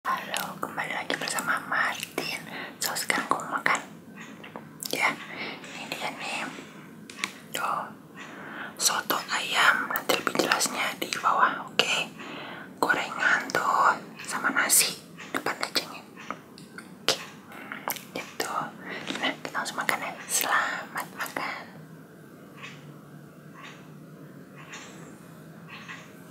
Halo, kembali lagi bersama Martin. So sekarang aku mau makan, ya. Ini dia nih, tuh soto ayam. Nanti lebih jelasnya di bawah, oke? Okay? Gorengan tuh sama nasi depan dagingnya. Oke, okay. Ya itu. Nah, kita langsung makan ya. Selamat makan.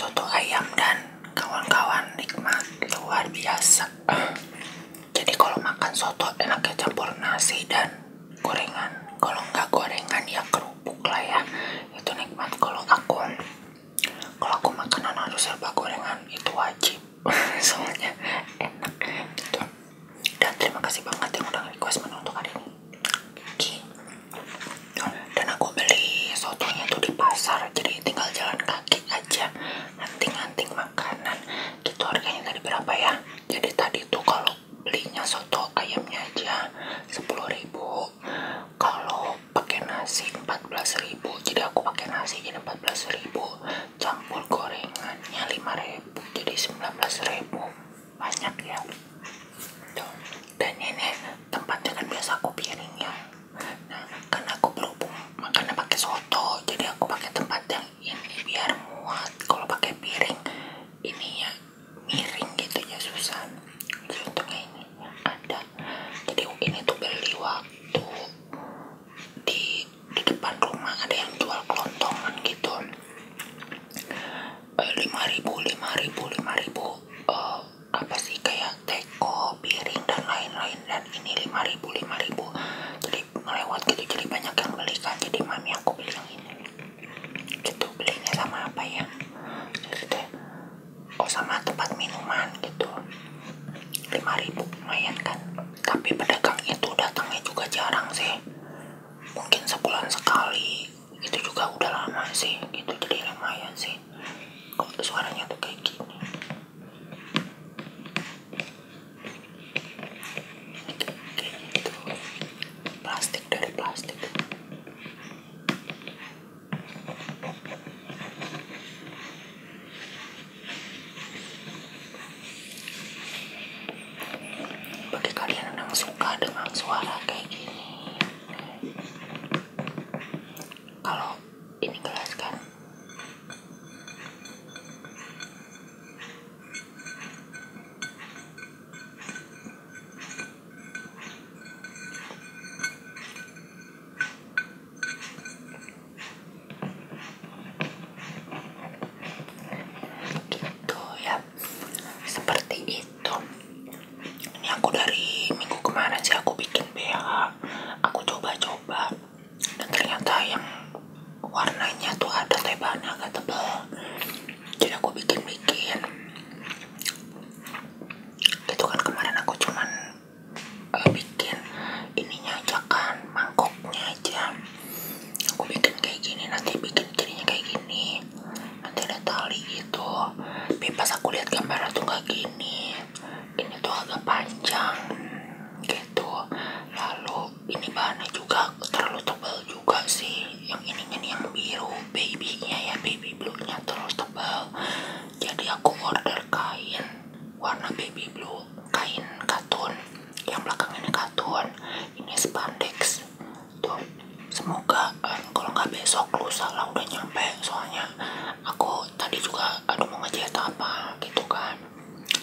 soto ayam dan kawan-kawan nikmat luar biasa jadi kalau makan soto enaknya campur nasi dan gorengan kalau nggak gorengan ya kerupuk lah ya itu nikmat kalau aku kalau aku makanan harus serba gorengan itu wajib soalnya enak gitu dan terima kasih banget yang udah request menu untuk hari ini okay. dan aku beli sotonya tuh di pasar jadi tinggal jalan kaki aja anting-anting makanan gitu harganya tadi berapa ya jadi tadi tuh kalau belinya soto ayamnya aja ribu. kalau pakai nasi 14.000 jadi aku pakai nasi jadi 14.000 campur gorengannya 5.000 jadi 19.000 banyak ya dan ini tempatnya kan biasa aku piringnya nah karena aku berhubung makanya pakai soto jadi aku pakai tempat yang ini biar muat kalau pakai piring ini ya miring gitu ya susah untungnya ini ada jadi ini tuh beli waktu di di depan rumah ada yang jual kelontongan gitu Eh, lima ribu lima ribu lima ribu uh, apa sih kayak teko piring dan lain-lain dan ini lima ribu lima ribu jadi melewat gitu jadi banyak yang belikan jadi mami aku beli yang ini gitu belinya sama apa ya jadi deh oh, sama tempat minuman gitu lima ribu lumayan kan tapi pedagang itu datangnya juga jarang sih mungkin sebulan sekali itu juga udah lama sih itu jadi lumayan sih kok suaranya tuh kayak gini kayak gitu plastik dari plastik bagi kalian yang suka dengan suara kayak gini kalau ini kelas kan? gitu ya seperti itu ini aku dari minggu kemarin sih aku bikin BH aku coba-coba dan ternyata yang warnanya tuh ada tebalnya agak tebal jadi aku bikin-bikin itu kan kemarin aku cuman eh, bikin ininya aja kan mangkoknya aja aku bikin kayak gini nanti bikin cerinya kayak gini nanti ada tali gitu tapi pas aku lihat gambar tuh gak gini ini tuh agak panjang gitu lalu ini bahannya juga terlalu tebal juga sih yang ini ini yang biru babynya ya baby blue nya terlalu tebal jadi aku order kain warna baby blue kain katun yang belakang ini katun ini spandex tuh semoga um, kalau nggak besok lusa lah udah nyampe soalnya aku tadi juga aduh mau ngejahit apa gitu kan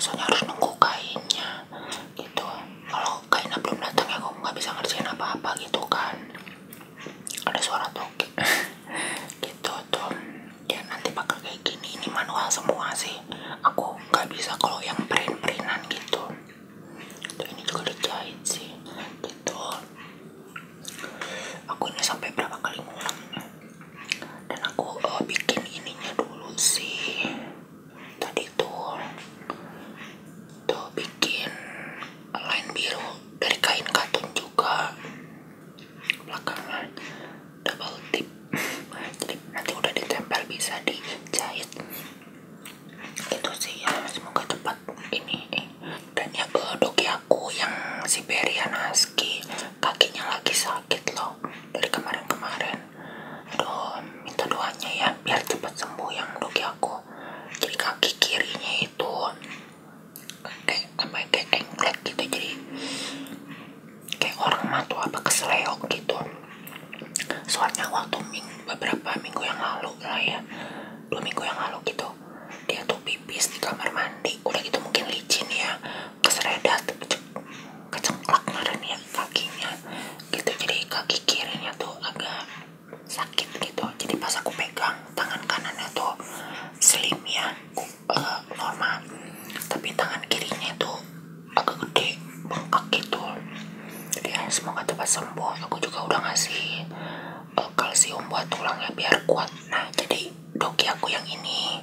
soalnya harus nunggu kainnya gitu kalau kainnya belum dateng ya aku nggak bisa ngerjain apa-apa gitu kan ada suara toke gitu tuh ya nanti pakai kayak gini ini manual semua sih aku nggak bisa kalau yang print printan gitu ini juga dijahit sih gitu aku ini sampai berapa kali ngulangnya dan aku eh, bikin ininya dulu sih tadi tuh tuh bikin line biru dari kain katun juga belakangnya double tip nanti udah ditempel bisa dijahit itu sih ya semoga cepat ini dan ya ke doki aku yang Siberian Husky kakinya lagi sakit loh dari kemarin-kemarin aduh minta doanya ya biar cepat sembuh yang doki aku jadi kaki kirinya itu kayak apa ya, kayak engklek gitu jadi kayak orang matua apa keseleo gitu soalnya waktu minggu, beberapa minggu yang lalu lah ya dua minggu yang lalu gitu dia tuh pipis di kamar mandi udah gitu mungkin licin ya keseredat kecengklak ngaren ya kakinya gitu jadi kaki kirinya tuh agak sakit gitu jadi pas aku pegang tangan kanannya tuh slim ya uh, normal tapi tangan kirinya tuh agak gede bengkak gitu jadi ya semoga cepat sembuh aku juga udah ngasih eh, kalsium buat tulangnya biar kuat nah jadi doki aku yang ini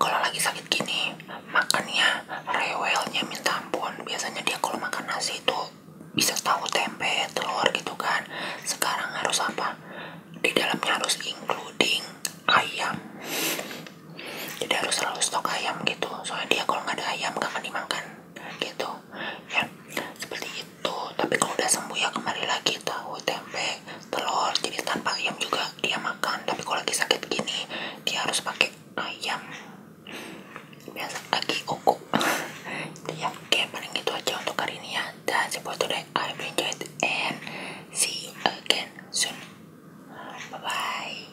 kalau lagi sakit gini makannya rewelnya minta ampun biasanya dia kalau makan nasi itu bisa tahu tempe telur gitu kan sekarang harus apa di dalamnya harus including ayam jadi harus selalu stok ayam gitu soalnya dia kalau nggak ada ayam gak akan dimakan gitu ya seperti itu tapi kalau udah sembuh ya kembali lagi tahu tempe telur jadi tanpa ayam juga dia makan tapi kalau lagi sakit gini dia harus pakai ayam biasa lagi kuku ya oke paling itu aja untuk hari ini ya dan buat udah I enjoyed and see you again soon bye bye